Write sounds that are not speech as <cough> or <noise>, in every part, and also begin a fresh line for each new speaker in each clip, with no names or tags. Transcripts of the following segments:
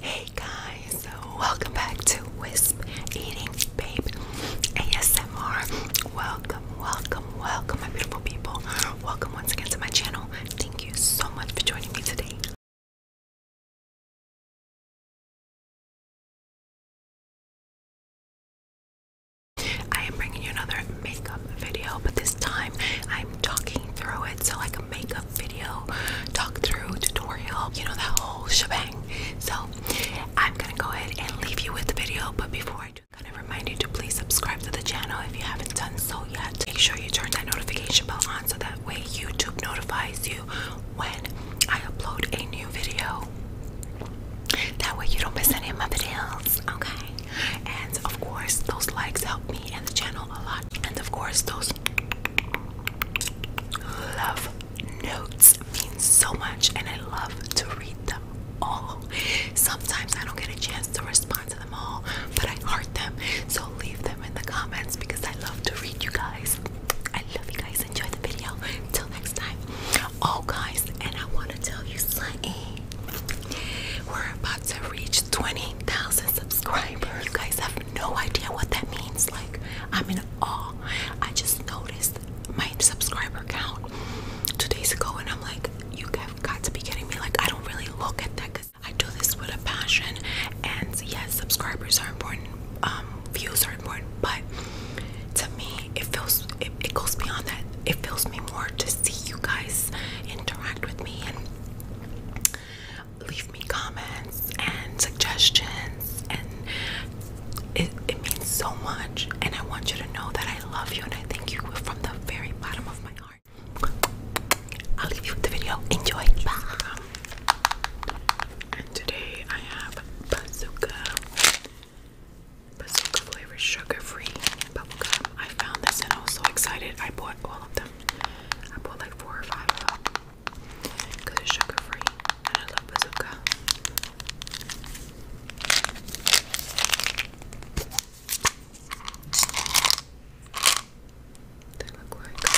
Hey guys, welcome back to Wisp Eating Babe ASMR. Welcome, welcome, welcome, my beautiful people. Welcome once again to my channel. Thank you so much for joining me today. I am bringing you another makeup video, but this time I'm talking through it. So, like like a makeup video, talk through, tutorial, you know, that whole shebang. So I'm gonna go ahead and leave you with the video, but before I do, I'm gonna remind you to please subscribe to the channel if you haven't done so yet. Make sure you turn that notification bell on so that way YouTube notifies you when I upload a new video. That way you don't miss any of my videos, okay? And of course, those likes help me and the channel a lot. And of course, those Love notes mean so much, and I love to read them all. Sometimes I don't get a chance to respond to them all, but I heart them. So leave them in the comments because I love to read you guys. I love you guys. Enjoy the video. Till next time. Oh, guys, and I want to tell you something. We're about to reach 20,000 subscribers. guys no idea what that means. Like, I'm in awe. I just noticed my subscriber count two days ago, and I'm like, you have got to be kidding me. Like, I don't really look at that because I do this with a passion. And yes, subscribers are important, um, views are important, but to me, it feels it, it goes beyond that. It feels me more to see you guys interact with me and leave me comments and suggestions and it, it means so much and I want you to know that I love you and I thank you from the very bottom of my heart. I'll leave you with the video. Enjoy. And today I have bazooka. Bazooka flavor sugar-free bubblegum. I found this and I was so excited. I bought all of them. I bought like four or five of because it's sugar free and I love bazooka. They look like uh,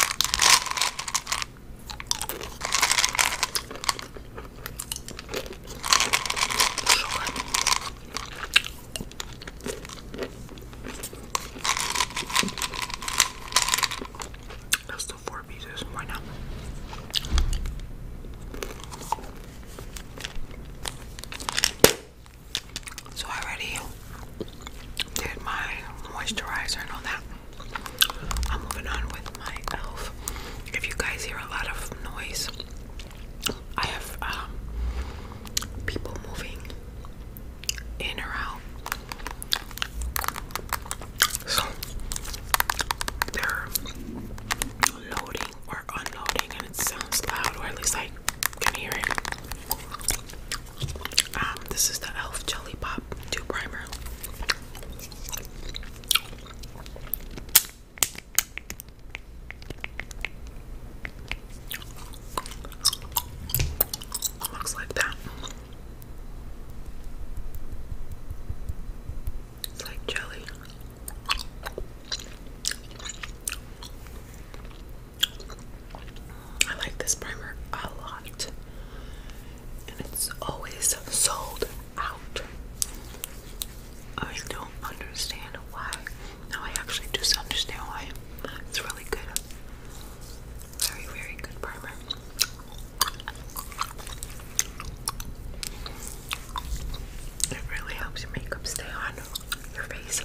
that's the four pieces. right now. So I already did my moisturizer and all that. I'm moving on with my elf. If you guys hear a lot of noise, I have um, people moving in or out. So they're loading or unloading, and it sounds loud, or at least I can hear it. Um, this is the Elf Jelly Pop Dew Primer. Looks like that. It's like jelly. I like this primer a lot, and it's always sold out. I don't understand why. Now I actually just understand why. It's really good. Very, very good primer. It really helps your makeup stay on your face.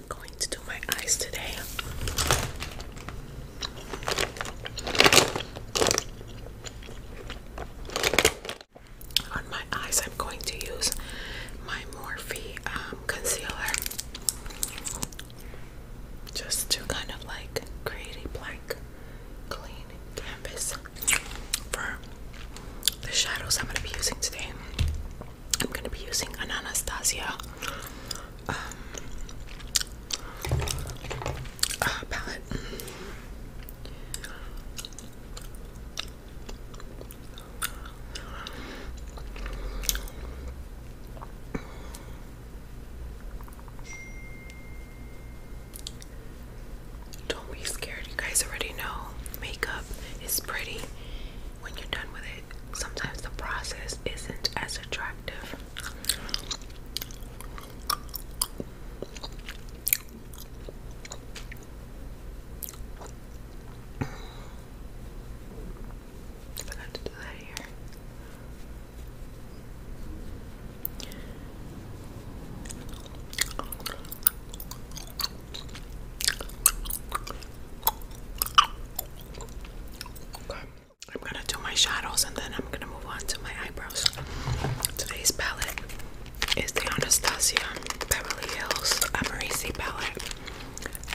I'm going to On my eyes, I'm going to use my Morphe um, concealer just to kind of like create a blank, clean canvas for the shadows I'm going to be using today. I'm going to be using an Anastasia um, uh, palette. Don't be scared, you guys already know makeup is pretty when you're done with it, sometimes the process isn't as attractive. I forgot to do that here. Okay. I'm gonna do my shadows and then I'm gonna move on to my eyebrows. Today's palette is the Anastasia Beverly Hills Amorisi palette.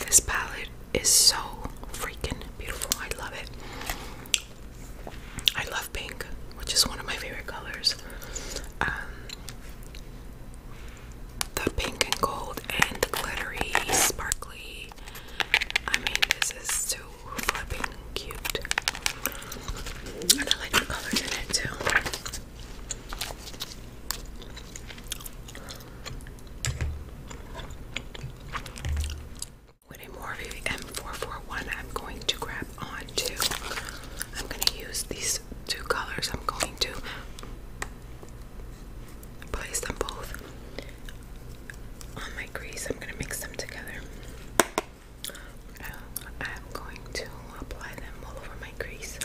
This palette is so freaking beautiful. I love it. I love pink, which is one of my favorite colors. Um, the pink and gold and the glittery, sparkly. I mean, this is too flipping cute. I like the colors in it too. With a Morphe M441, I'm going to grab onto. I'm going to use these two colors, I'm going to place them both on my grease. I'm going to mix them together. I'm going to apply them all over my grease.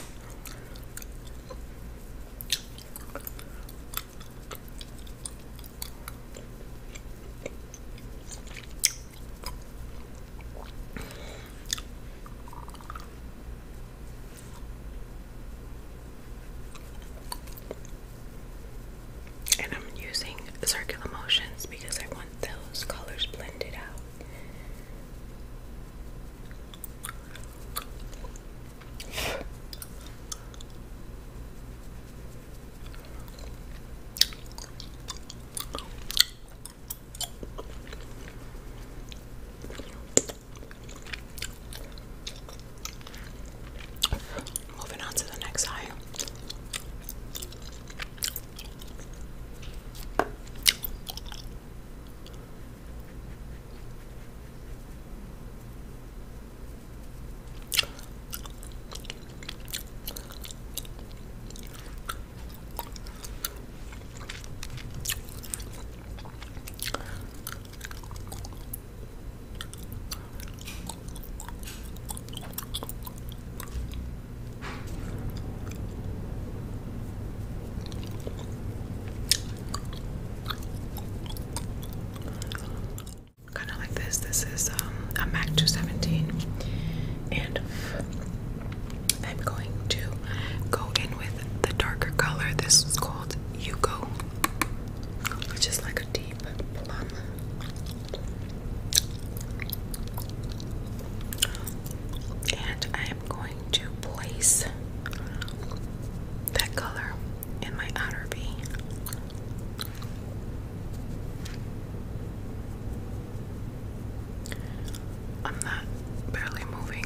And I'm using circular motions because I want those colors blended out. Moving on to the next eye. Kind of like this. This is um, a MAC 217, and I'm going to go in with the darker color. This is called Yugo, which is like a deep plum. And I am going to place that color in my outer V. I'm not barely moving.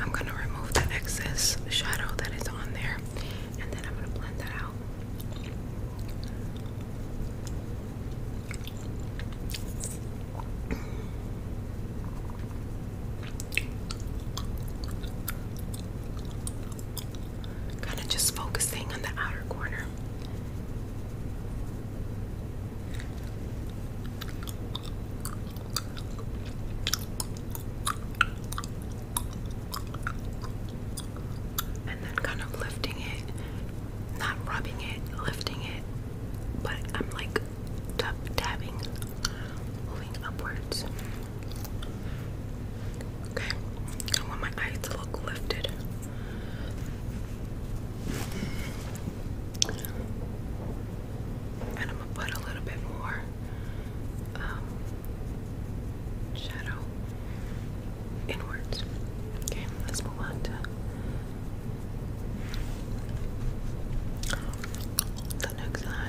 I'm going to remove the excess shadow that is on there and then I'm going to blend that out. Kind of just focusing on the outer corner. And then kind of lifting it, not rubbing it, lifting it, but I'm like tapping, moving upwards. Okay, I want my eyes to look lifted. And I'm gonna put a little bit more um, shadow inwards. Okay, let's move on to the next eye.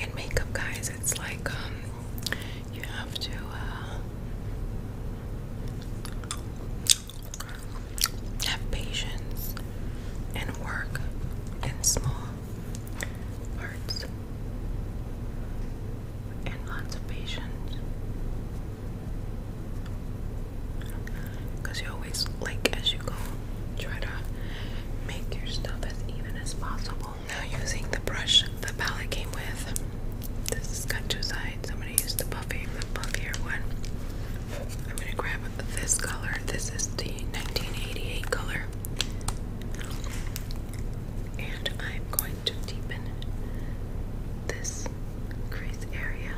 In makeup, guys, it's like um, you have to. Uh, have patience and work in small parts and lots of patience Cause you always like as you go try to make your stuff as even as possible. Now using the brush the palette came with. This is got two sides. I'm gonna use the puffy, the puffier one. I'm gonna grab this color. This is the 1988 color. And I'm going to deepen this crease area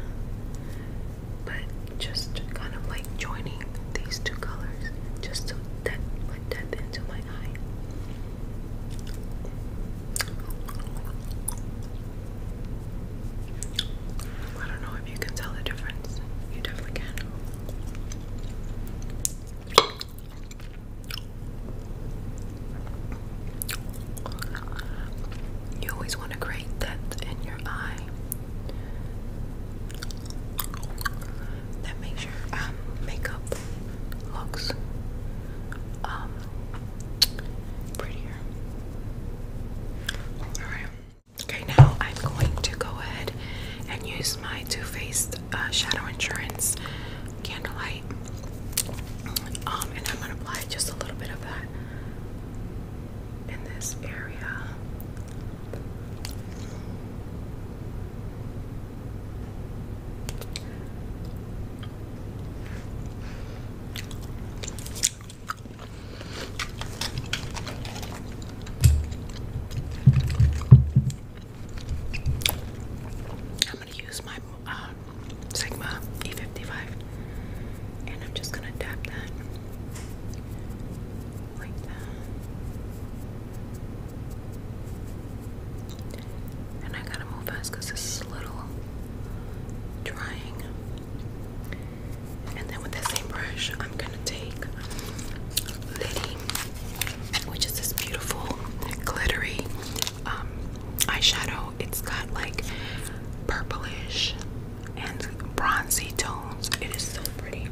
but just kind of like joining these two colors just to depth, like depth into my eye. I don't know if you can tell the difference. You definitely can. You always want to create depth in your that makes your um, makeup looks um, prettier. Alright. Okay, now I'm going to go ahead and use my Too Faced uh, Shadow Insurance Candlelight. Um, and I'm going to apply just a little bit of that in this area. I'm going to use my uh, Sigma E55 and I'm just going to tap that. And I gotta move fast because this is a little drying. And then with that same brush, I'm gonna take Liddy, which is this beautiful glittery um, eyeshadow. It's got like purplish and bronzy tones. It is so pretty.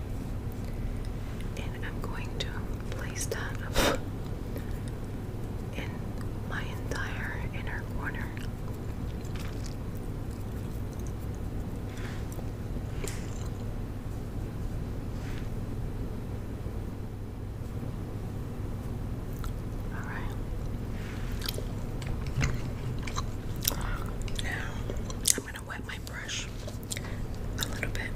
And I'm going to place that in my entire inner corner. All right. Now I'm gonna wet my brush a little bit.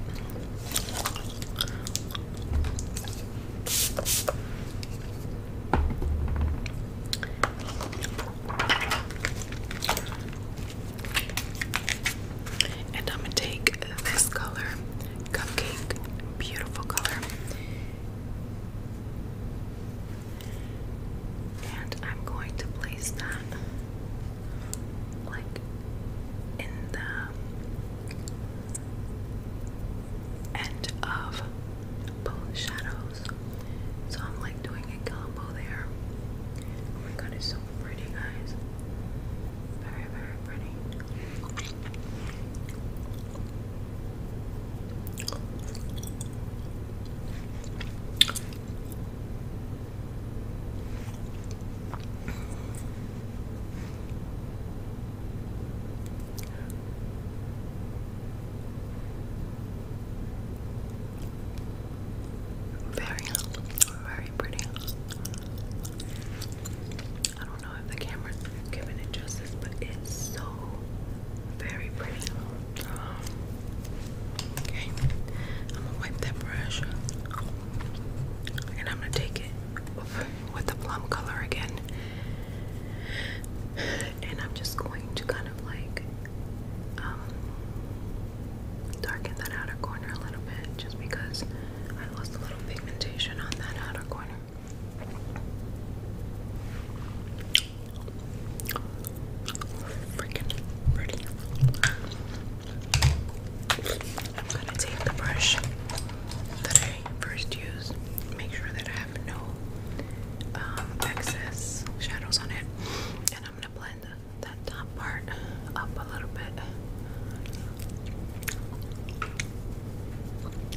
And I'm gonna take this color, Cupcake, beautiful color, and I'm going to place that like in the end of both shadows. So I'm like doing a combo there. Oh my god, it's so pretty, guys. Very, very pretty. Very, very pretty. I don't know if the camera's giving it justice, but it's so very pretty. Okay, I'm gonna wipe that brush and I'm gonna take it with the plum color again. And I'm just going to kind of like um, darken that outer corner a little bit just because I lost a little pigmentation on that outer corner. Freaking pretty. I'm gonna take the brush that I first used, make sure that I have no um, excess shadows on it, and I'm gonna blend the, that top part up a little bit.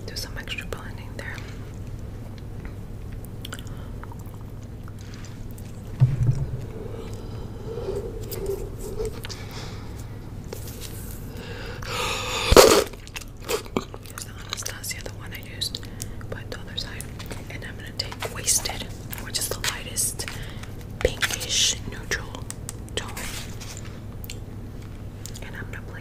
Do some extra blending there. Here's the Anastasia, the one I used, but the other side. And I'm gonna take Wasted, which is the lightest pinkish neutral tone. And I'm gonna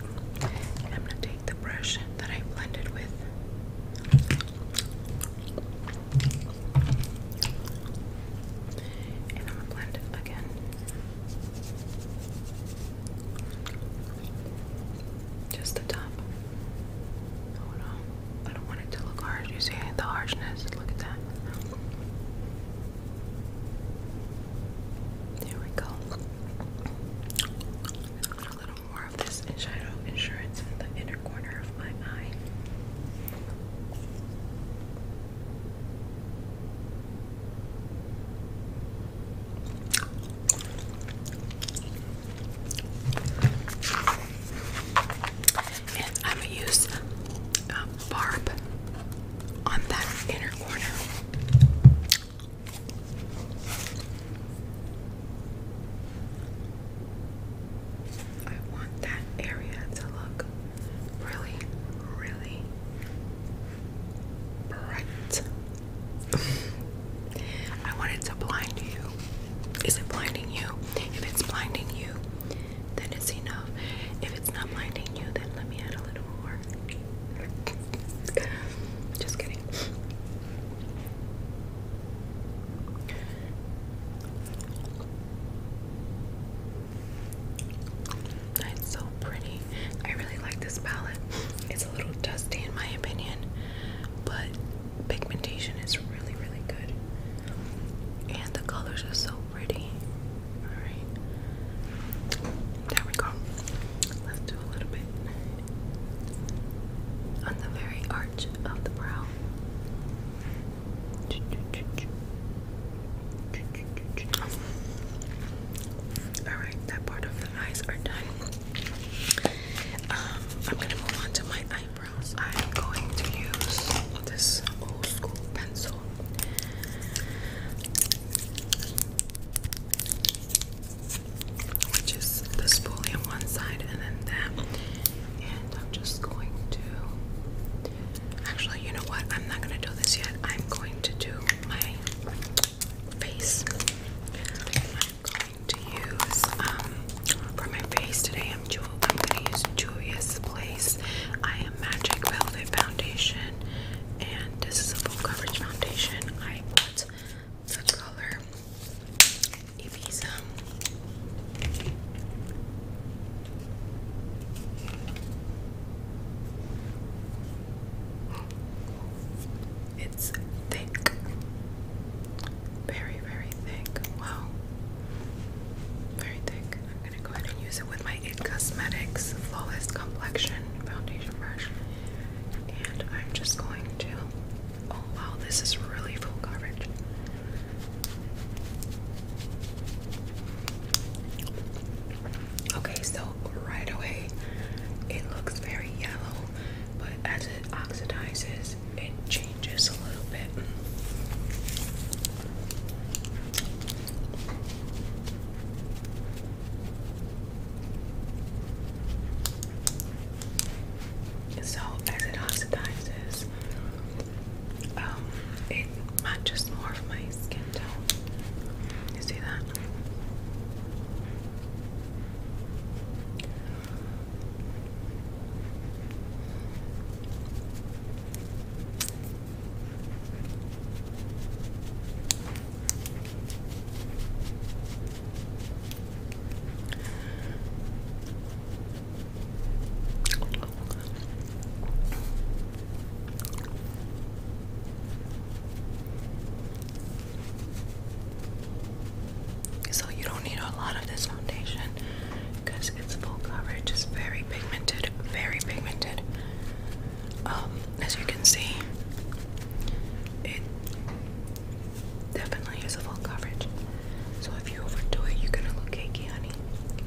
I'm gonna take the brush that I blended with. And I'm gonna blend it again. Just the top. Oh, I don't want it to look hard. You see the harshness? Look at that. There we go. A little more of this shadow insurance in the inner corner of my eye. And I'm going to use um, Barb on that inner corner. I want that area to look really, really bright. <laughs> I want it to blind you. Is it blinding you? If it's blinding you, then it's enough. If it's not blinding you, then let me add a little more. Just kidding. It's so pretty. I really like this palette. It's a little dusty in my opinion, but pigmentation is really, really good. And the colors are so pretty. Alright. There we go a little bit on the very arch of the brow. Alright, that part of the eyes are done. Um, I'm gonna move on to my eyebrows. I'm going to use this old school pencil which is the spoolie on one side and then that. And I'm just going to. Actually, you know what? I'm not going to do this yet. I'm going to do my face. I'm going to use um for my face today. I'm Ju I'm going to use Julia's Place. I am Magic Velvet Foundation, and this is a full coverage foundation. I put the color Ibiza. It's thick, very, very thick. Wow, very thick. I'm gonna go ahead and use it with my It Cosmetics Flawless Complexion Foundation Brush. And I'm just going to. Oh wow, this is really full coverage. Okay, so right away it looks very yellow, but as it oxidizes, it changes a little bit. So as it oxidizes, um, it matches more of my skin tone. You see that? So, you don't need a lot of this foundation because it's full coverage, it's very pigmented, very pigmented. Um, as you can see, it definitely is a full coverage. So if you overdo it, you're gonna look cakey, honey.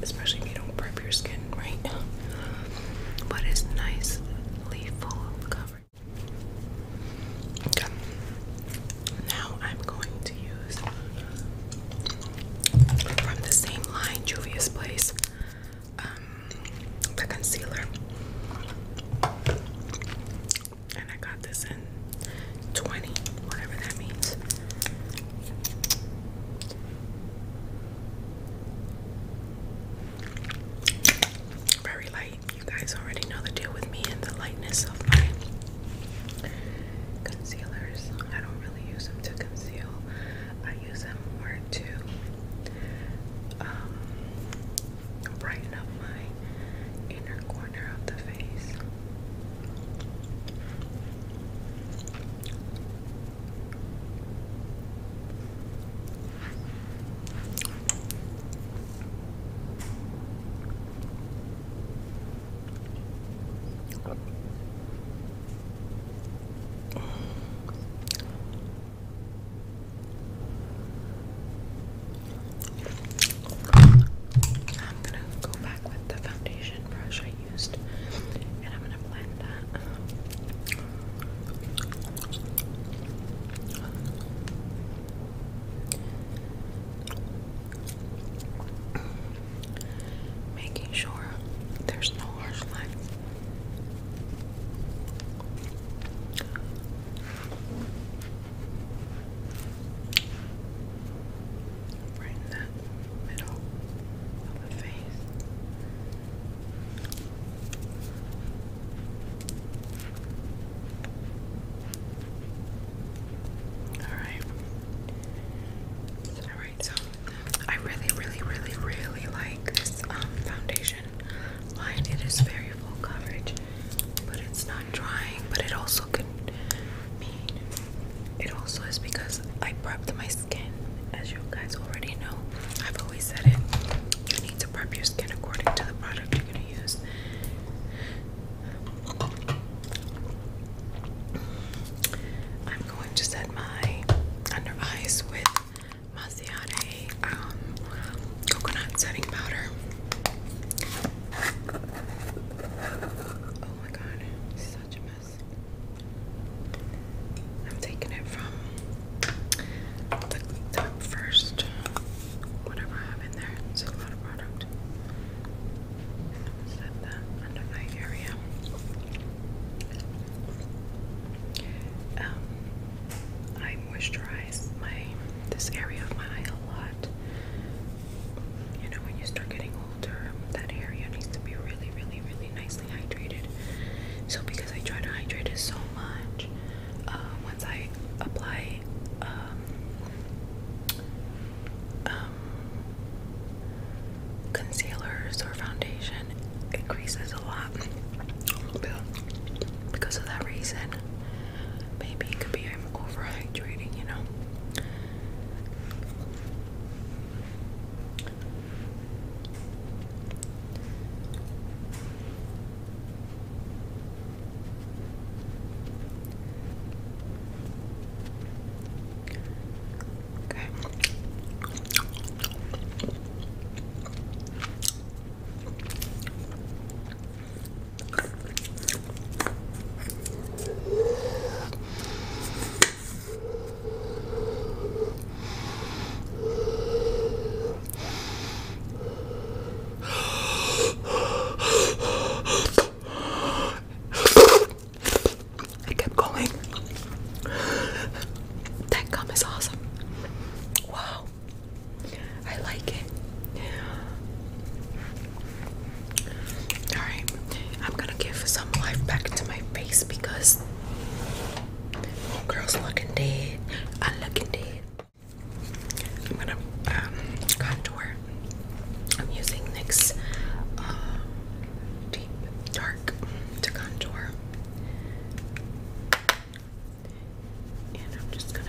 Especially if you don't prep your skin right. <laughs> But it's nicely full of coverage. Okay. Now I'm going to use from the same line, Juvia's Place. Um, the concealer. And I got this in 20, whatever that means. Very light. You guys already know the deal with me and the lightness of my concealers. I don't really use them to conceal, I use them more to um, brighten up my inner corner of the face. I'm gonna go back with the foundation brush I used and I'm gonna blend that. Making sure there's no harsh lines. Right in that middle of the face. Alright. Alright, so I really, really, really, really like this um, foundation line. It is very full coverage, but it's not drying. But it also can mean it also is because I prepped my skin, as you guys already know. I've always said it. You need to prep your skin according to the product you're gonna use. I'm going to set my under eyes with Maciade um, coconut setting powder. Oh my god, such a mess. I'm taking it from the top first. Whatever I have in there, it's a lot of product. set that under my area. Um, I moisturize my this area of my eye a lot. You know, when you start getting older, that area needs to be really, really, really nicely hydrated. So because I try to hydrate it so much, uh, once I apply um, um, concealers or foundation, it creases a lot because of that reason. Maybe it could be I'm overhydrating, you know. Okay. I kept going. That gum is awesome. Wow. I like it. Alright, I'm gonna give some life back to my face because girl's looking dead. I'm dead. I'm gonna um, contour. I'm using NYX um, Deep Dark to contour. And I'm just gonna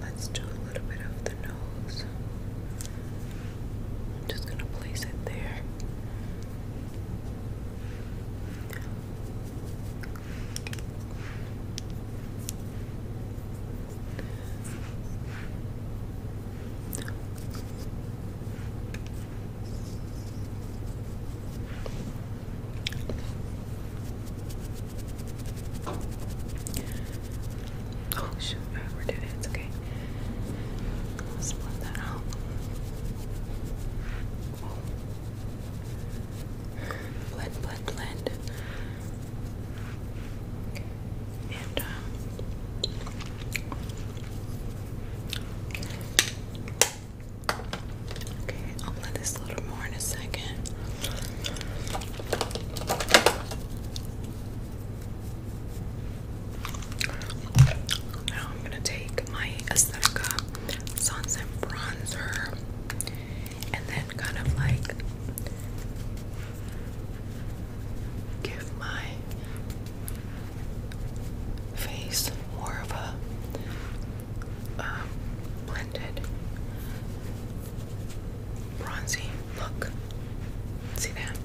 Let's do a little bit of the nose. I'm just gonna place it there. Oh shoot, I overdid it. okay. Let's split that out. Oh. Blend, blend, blend. And, um, okay, I'll blend this a little more in a second. Now I'm gonna take my Aesthetica Sunset Bronzer and then kind of like give my face more of a um, blended bronzy look. See that?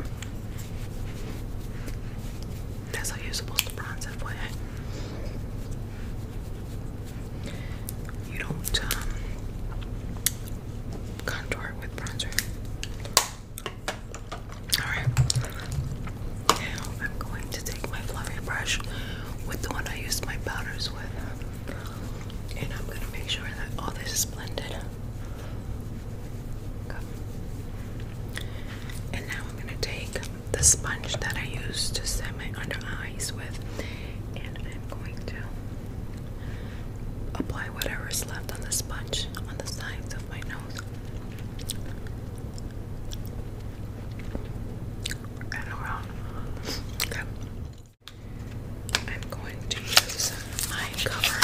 That's how you're supposed to bronze that You don't um, contour with bronzer. Alright. Now I'm going to take my fluffy brush with the one I used my powders with. And I'm gonna make sure that all this is blended. And now I'm gonna take the sponge that I used to set my under eyes with, and I'm going to apply whatever is left on the sponge on the sides of my nose. Okay. I'm going to use my cover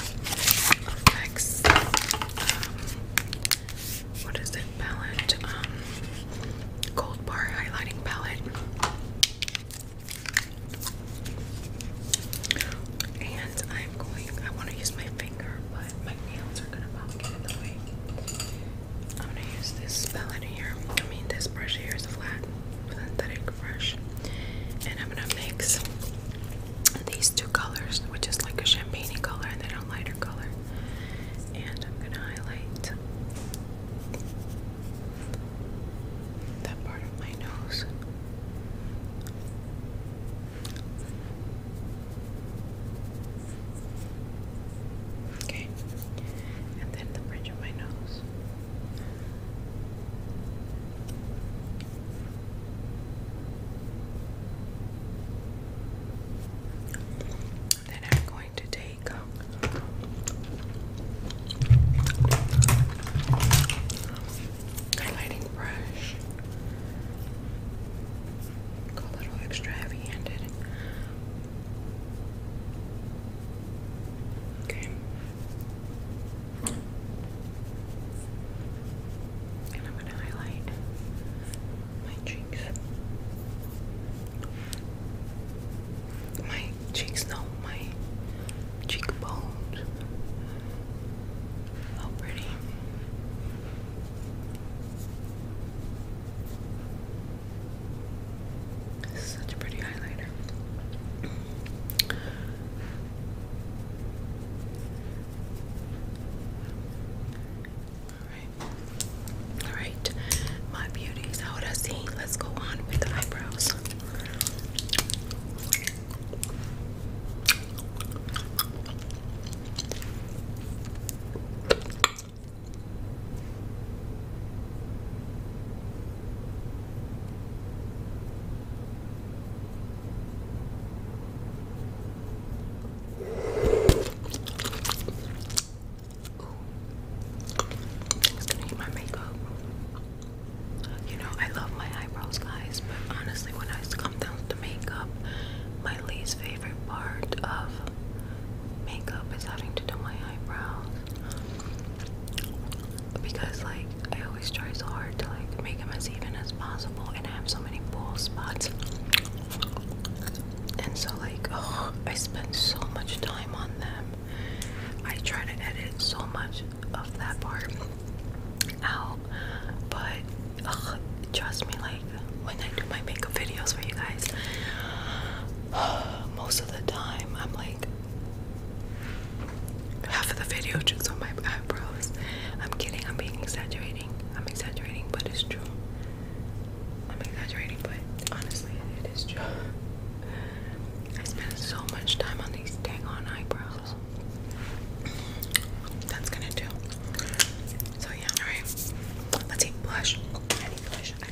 effects. Um, what is it? Palette. Um, gold bar highlighting palette. And I'm going. I want to use my finger, but my nails are gonna pop in the way. I'm gonna use this palette here. I mean, this brush here is a flat synthetic brush, and I'm gonna mix these two colors, which is like a champagne color and then a lighter color. And I'm gonna highlight that part of my nose. Okay, and then the bridge of my nose. Then I'm going to take um, highlighting brush. Go a little extra heavy-handed. Okay. And I'm going to highlight my cheeks. My cheeks, no, my cheekbones. How oh, pretty. Such a pretty highlighter. Alright. Alright. My beauties. How would I see? Let's go on with the eyebrows. It's gonna eat my makeup. You know, I love my eyebrows, guys, but honestly, when I come down to makeup, my least favorite part of makeup is having to do my eyebrows because like I always try so hard to like make them as even as possible and I have so many bald spots and so like <sighs> oh I spend so much time on them I try to edit so much of that part out but trust me like when I do my makeup videos for you guys <sighs> most of the time I'm like half of the video just on my eyebrows. I'm kidding, I'm being exaggerating. I'm exaggerating, but it's true. I'm exaggerating, but honestly, it is true. I spend so much time on these dang on eyebrows. That's gonna do. So yeah, alright. Let's see, blush. I blush. Okay,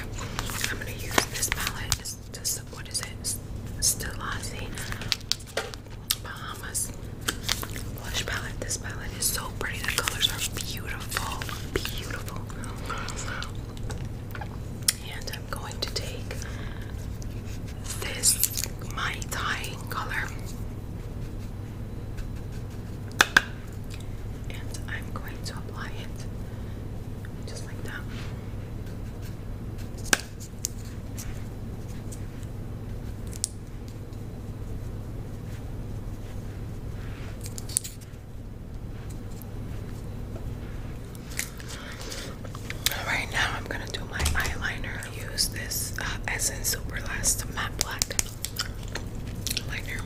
I'm gonna use this palette. It's just, what is it? Stilazzi Bahamas blush palette. This palette is so pretty. The colors are beautiful, beautiful. And I'm going to take this my Thai color and I'm going to apply it just like that. Right now, I'm gonna do my eyeliner. use this uh, Essence Superlast Matte Black Lightner.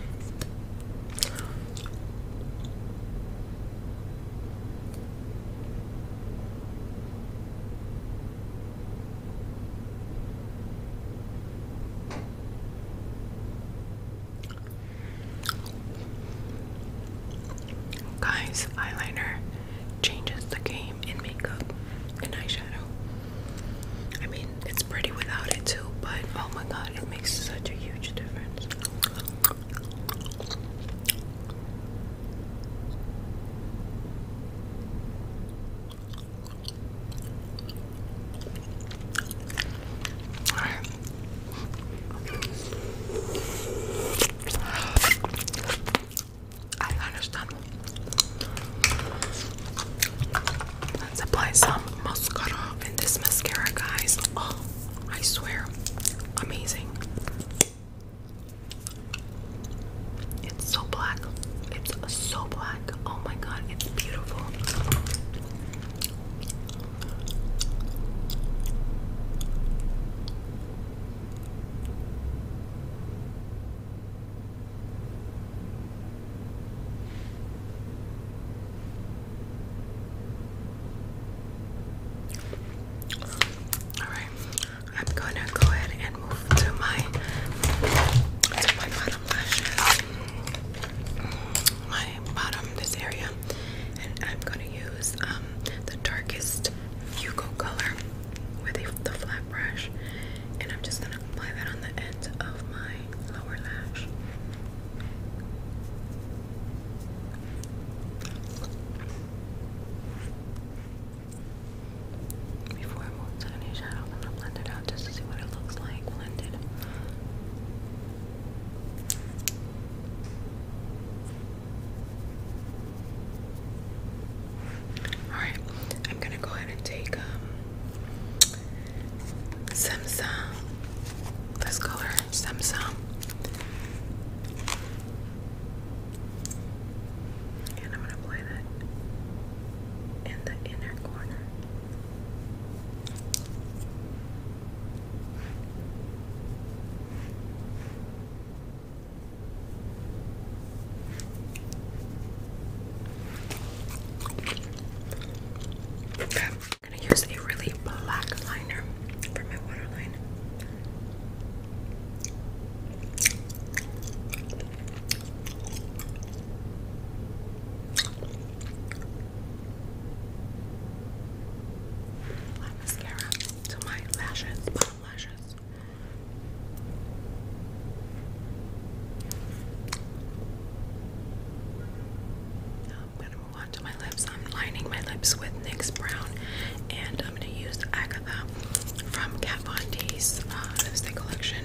Guys, eyeliner changes the game in makeup and eyeshadow. I mean, it's pretty without it too, but oh my god, it makes such a huge difference. I understand. Let's apply mascara in this mascara, guys. Oh, I swear, amazing. It's so black. It's so black. Oh my god, it's beautiful. All right, I'm gonna go ahead and move to my to my bottom lashes, my bottom this area, and I'm gonna use um, the darkest Hugo color with the flat brush, and I'm just gonna apply that on the ends of my lower lash. Before I move to any shadow, I'm gonna blend it out just to see what it looks like blended. Alright, I'm gonna go ahead and take um Samsung. Let's call her Samsung. And I'm gonna play that in the inner corner. Okay, I'm gonna use a really black liner for my waterline. My mascara to my lashes, bottom lashes. I'm going to move on to my lips. I'm lining my lips with NYX Brown and I'm going to use Agatha from Kat Von D's uh, lipstick collection.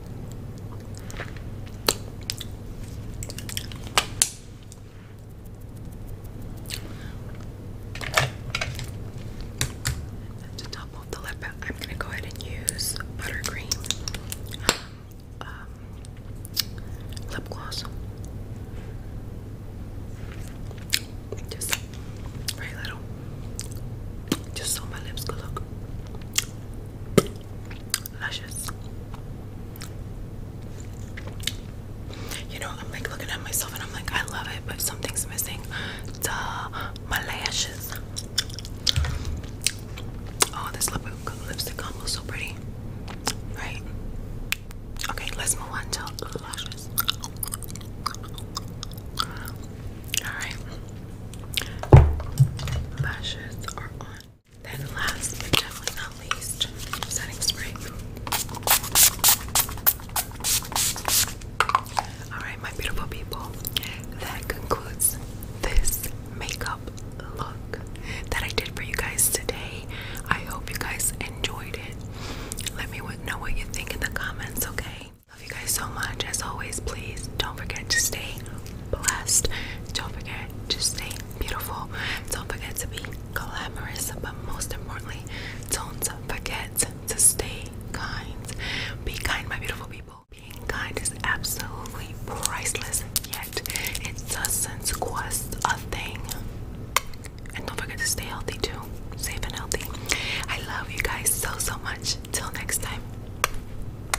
to top off the lip, I'm gonna go ahead and use buttercream um, um, lip gloss. Just very little, just so my lips look Luscious. You know, I'm like looking at myself and I'm like, I love it, but something's missing. Duh, my lashes. Oh, this lipstick combo is so pretty. Right? Okay, let's move on to lashes. Alright. Lashes are on. Then last but definitely not least, setting spray. Alright, my beautiful people, that concludes this makeup look that I did for you guys today. I hope you guys enjoyed it. Let me know what you think in the comments, okay? Love you guys so much. As always, please don't forget to stay blessed. Don't forget to stay beautiful. Don't forget to be glamorous. But most importantly, don't forget to stay kind. Be kind, my beautiful people. Being kind is absolutely priceless, yet it doesn't cost a thing. And don't forget to stay healthy too. Safe and healthy. I love you guys so, so much. Till next time.